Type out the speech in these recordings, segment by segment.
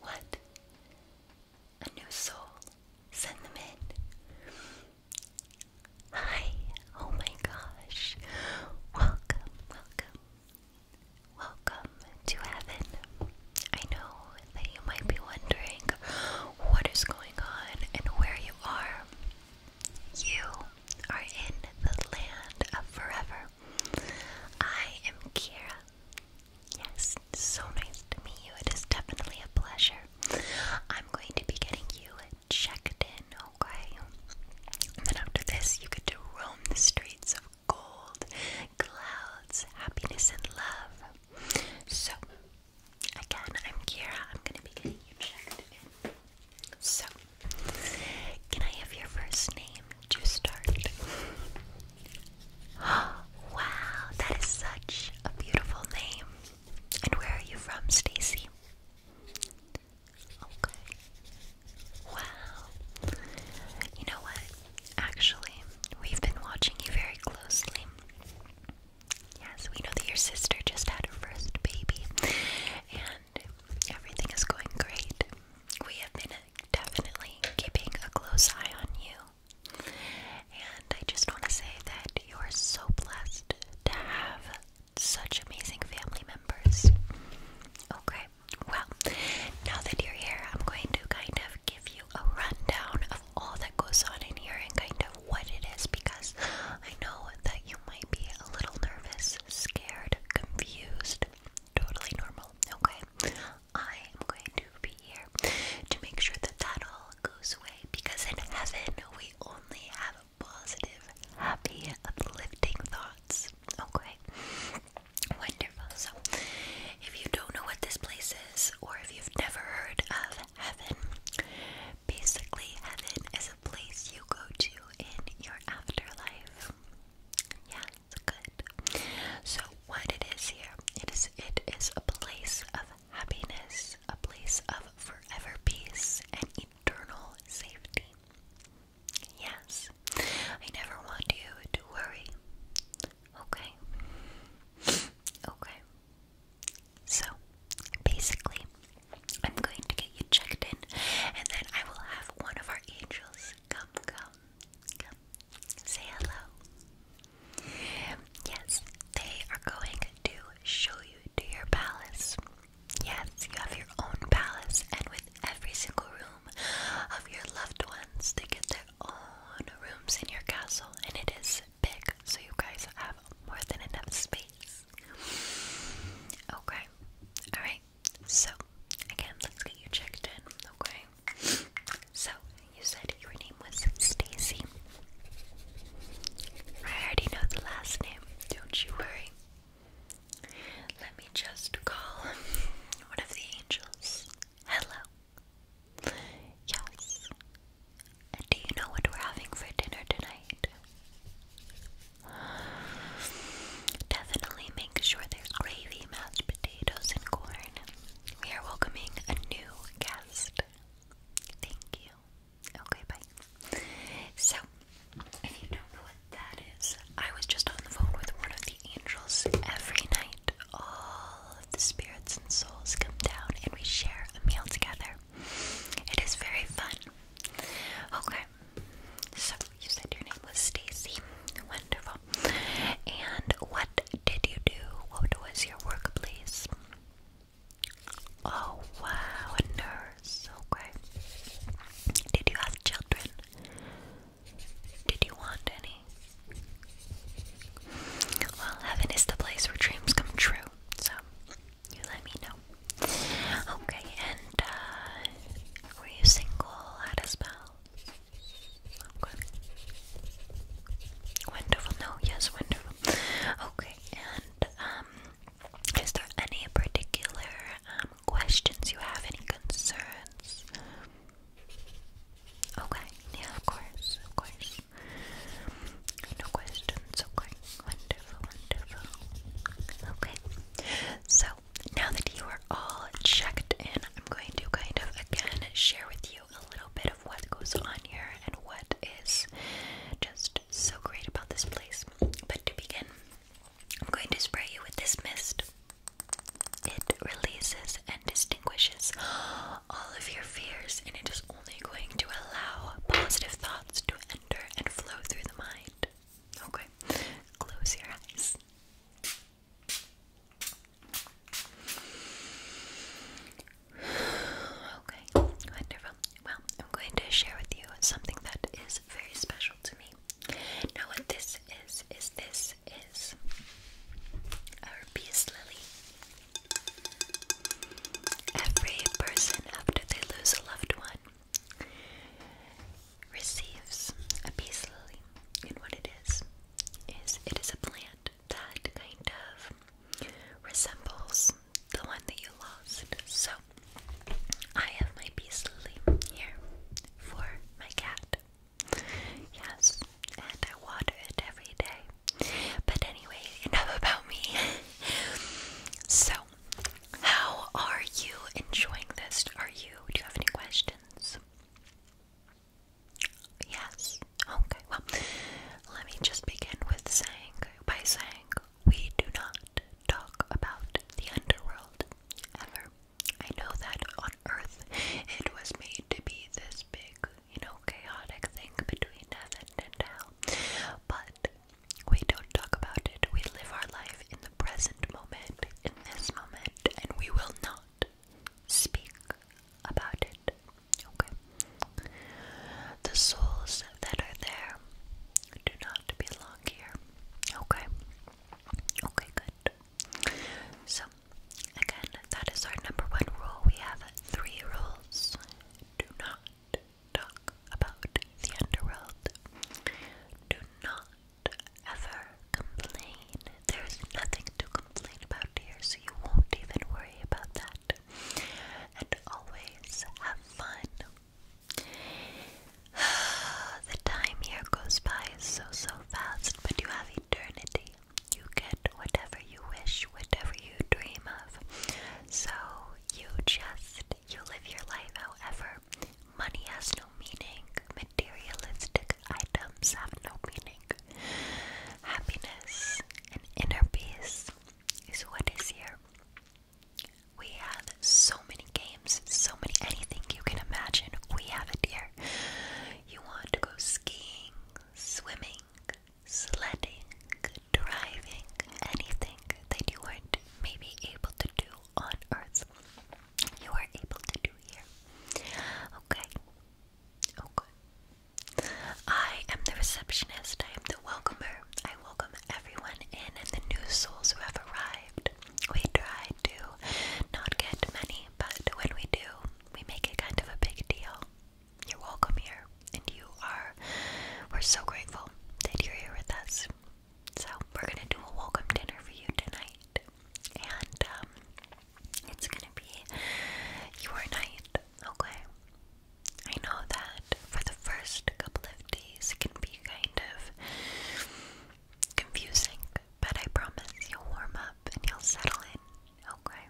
What? A new soul? Send them in. Hi. Oh my gosh. Welcome, welcome. Welcome to heaven. I know that you might be wondering what is going on and where you are. You are in the land of forever. I am Kira, Yes, so nice to meet you. It is definitely a pleasure. I'm going to be getting you checked in, okay? And then after this, you get to roam the streets of gold, clouds, happiness, and love. So, again, I'm Kira. I'm going to be getting you checked in. So, can I have your first name to start? wow, that is such a beautiful name. And where are you from, Stacy? Okay. Wow. You know what? Actually, we've been watching you very closely. Yes, we know that your sister just had her first baby, and everything is going great. We have been definitely keeping a close eye on you. And I just want to say that you are so blessed to have such amazing family members. Okay, well, now that you're here, I'm going to kind of give you a rundown of all that goes on in here and kind of what it is because I know that you might be a little nervous, scared, confused totally normal, okay? I am going to be here to make sure that that all goes away because in heaven we only have positive, happy, uplifting thoughts, okay? Wonderful. So, if you don't know what this place is, or if you've never heard of heaven, basically, heaven is a place you go to in your afterlife. Yes. Yes, good. So what it is here, it is it is a place of happiness, a place of forever peace and eternal safety. Yes. I never want you to worry. Okay. Okay. So, basically, I'm going to get you checked in, and then I will have one of our angels come, come, come, say hello. Yes, they are going to show you to your palace. Yes, you have your own palace, and with every single room of your loved ones, they get their own rooms in your castle, and it is big, so you guys have more than enough space. Okay. Alright. So, again, let's get you checked in. Okay. So, you said your name was Stacy. I already know the last name. Don't you worry. Let me just call one of the angels. Hello. Yes. do you know what we're having for dinner tonight? Definitely make sure there's gravy, mashed potatoes, and corn. We are welcoming a new guest. Thank you. Okay, bye. So, if you don't know what that is, I was just on the phone with one of the angels every night. All of the spirits and souls come down and we share a meal together. It is very fun. Okay, so you said your name was Stacy. Wonderful. And what did you do? What was your work, Oh wow, a nurse. Okay. Did you have children? Did you want any? Well, heaven is the place where dreams come true. So, you let me know. Okay, and uh, were you single at a spell? Wonderful. No, yes, wonderful. Okay, and um, is there any particular um, questions you have? Any concerns? Okay, yeah, of course, of course. No questions, okay? Wonderful, wonderful. Okay, so now that you are all checked in, I'm going to kind of again share with you a little bit of what goes on here and what is just so great about this place. But to begin, I'm going to spray you with this mist. It releases and distinguishes all of your fears, and it is only going to allow positive thoughts to enter and flow through the mind. Okay, close your eyes. Okay, wonderful. Well, I'm going to share with you something that is very special to me. Now, what this is, is this is our peace lily. Every person after they lose a loved one receives a peace lily, and what it is is it is a plant that kind of resembles the one that you lost. So I have my peace lily here for my cat. Yes, and I water it every day. But anyway, enough about me. so, how are you enjoying this? Are you? Do you have any questions? Yes. Okay. Well, let me just begin with saying by saying we do not talk about the underworld ever. I know that on Earth it was made to be this big you know, chaotic thing between heaven and hell. But we don't talk about it. We live our life in the present moment, in this moment, and we will not speak about it. Okay? The souls that are there do not belong here. Okay? Okay, good. So, again, that is our number one rule. We have three rules do not talk about the underworld, do not ever complain. There's nothing to complain about here, so you won't even worry about that. And always have fun. the time here goes by so so fast, but you have eternity you get whatever you wish, whatever you dream of. So you just you live your life however. Money has no meaning. Materialistic items have no meaning. Happiness and inner peace is what is here. We have so many games, so many anything you can imagine. We have it here. You want to go skiing, swimming, sledding, driving, anything that you weren't maybe able to do on Earth. You are able to do here. Okay. Okay. Oh, I am the receptionist. I am the welcomer. I welcome everyone in and the new souls who have arrived. We try try not get many, but when we do, we make it kind of a big deal. You're welcome here, and you are. We're so grateful that you're here with us. So, we're gonna do a welcome dinner for you tonight, and um, it's gonna be your night, okay? I know that for the first couple of days it can be kind of confusing but I promise you'll warm up and you'll settle in, okay?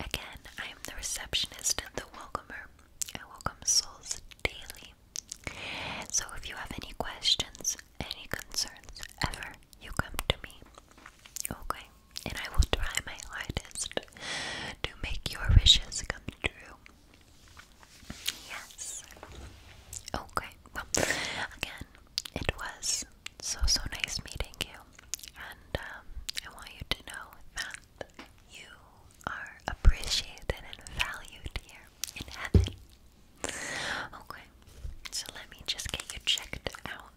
Again, I am the receptionist and the welcomer. I welcome souls daily. So if you have any questions, any concerns, ever, you come to me, okay? And I will try my hardest to make your wishes come true. Yes. Okay. Well, again, it was so so nice meeting you, and um, I want you to know that you are appreciated and valued here in heaven. Okay. So let me just get you checked out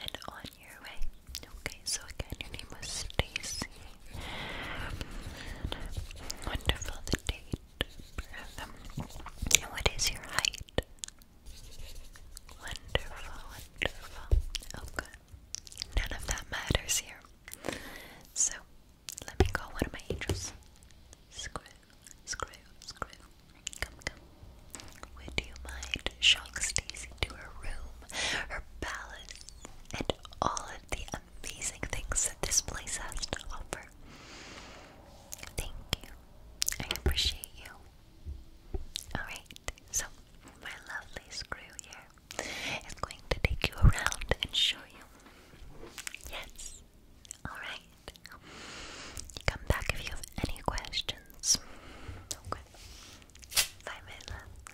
and on your way. Okay. So again, your name was Stacy. Wonderful the date what is your height? Wonderful, wonderful. Okay. Oh, None of that matters here. So, let me call one of my angels. Screw, screw, screw. Come, come. Would you mind showing Stacy to her room, her palace, and all of the amazing things that this place has to offer. Thank you. I appreciate you. Alright, so my lovely screw here is going to take you around and show you. Yes. Alright. Come back if you have any questions. Okay. Bye, my love.